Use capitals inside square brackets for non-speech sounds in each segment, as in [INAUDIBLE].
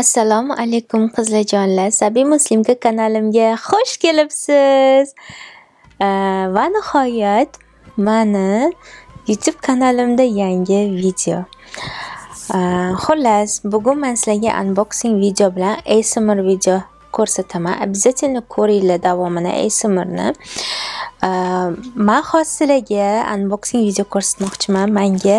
Assalomu alaykum qizlajonlar. Sabiy Muslimka kanalimga xush kelibsiz. Va nihoyat mani YouTube kanalimda yangi video. Xullas, bugun men sizlarga unboxing video bilan ASMR video ko'rsataman. Обязательно ko'ringlar davomini ASMRni. Men hozir sizlarga unboxing video ko'rsatmoqchiman. Menga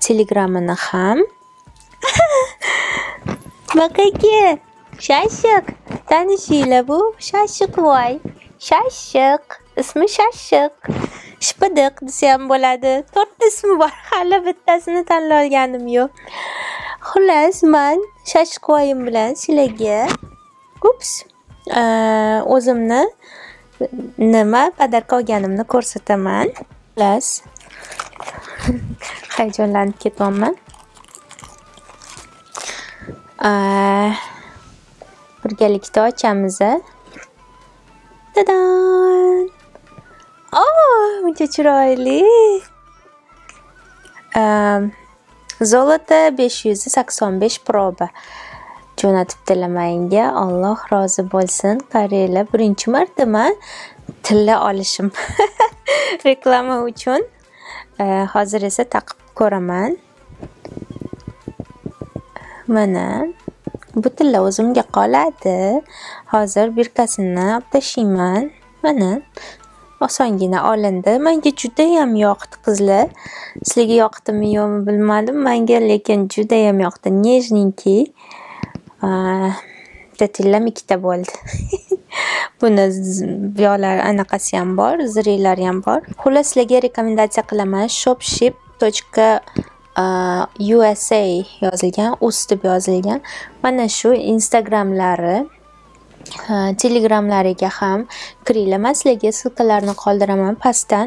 Telegrammini ham. Bakaki, Shashiq. Tanishinglar bu Shashiqvoy. Shashiq, ismi Shashiq. Shpidiq desa ham bo'ladi. To'rtta ismi bor, hali bittasini tanlay olganim yo'q. Xullas, men Shashiqvoyim bilan sizlarga ups, o'zimni nima padarka olganimni ko'rsataman. Xullas [LAUGHS] hayajonlanib ketyapman. Birgalikda ochamiz-a. Tadam! O, buncha chiroyli. Zolota 500 85 proba. jo'natib tilamanga Alloh rozi bo'lsin. Qariyla birinchi marta man tilla olishim [LAUGHS] reklama uchun e, hozir esa taqib ko'raman. Mana bu tilla o'zimga qoladi. Hozir birkasini olib tashlayman. Mana osongina olindi menga judayam yoqdi qizlar sizlarga yoqdimi yo'qmi bilmadim menga lekin judayam yoqdi nежненький dadillam ikkita bo'ldi. [LAUGHS] Buni anaqasi ham bor, ham bor. Xullas sizlarga rekomendatsiya qilaman. shopship.usa yozilgan, ust deb yozilgan. Mana shu Instagramlari telegramlariga ham kiringlar man sizlarga ссылкаларni qoldiraman pastdan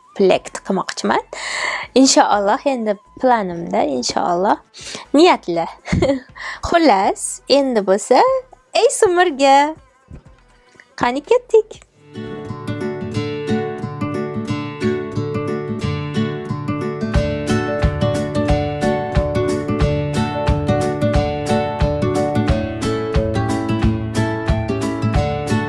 komplekt qilmoqchiman inshaalloh endi planimda inshaalloh niyatli [LAUGHS] xullas endi bo'lsa ey sumirga qani ketdik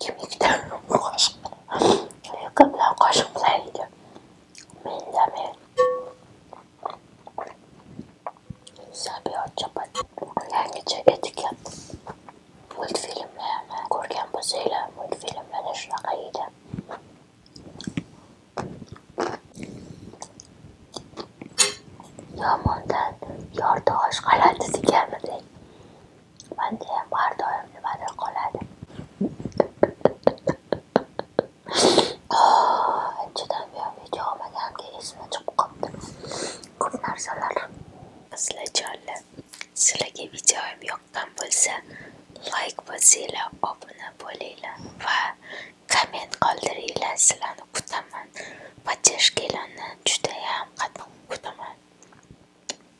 kimlikdan qo'shiq lyuka bilan qoshiq bilan yeydi men indamay sabiha chopadi yangicha etik yapti multfilmlarni ko'rgan bo'lsanglar multfilmlarda shunaqa yeydi yomondan yorti osh qalati deganidek Mandayam har doim nimadir qoladi. [LAUGHS] Ah, Chidamyam video olmaganimga esim chiqib qoldi. Ko'p narsalar. Qizlajonlar, sizlarga videoim yoqqan bo'lsa, like bosinglar, obuna bo'linglar va komment qoldiringlar. Sizlarni kutaman. Поддержкаларni juda ham qattiq kutaman.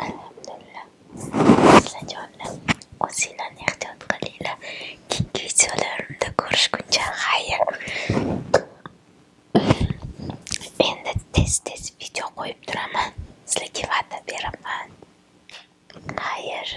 Alhamdulillah. Silajonlar, o'zinglarni ehtiyot qilinglar. Keyingi videolarimda ko'rishguncha xayr. Endi tez-tez video qo'yib turaman. Sizlarga va'da beraman. Xayr.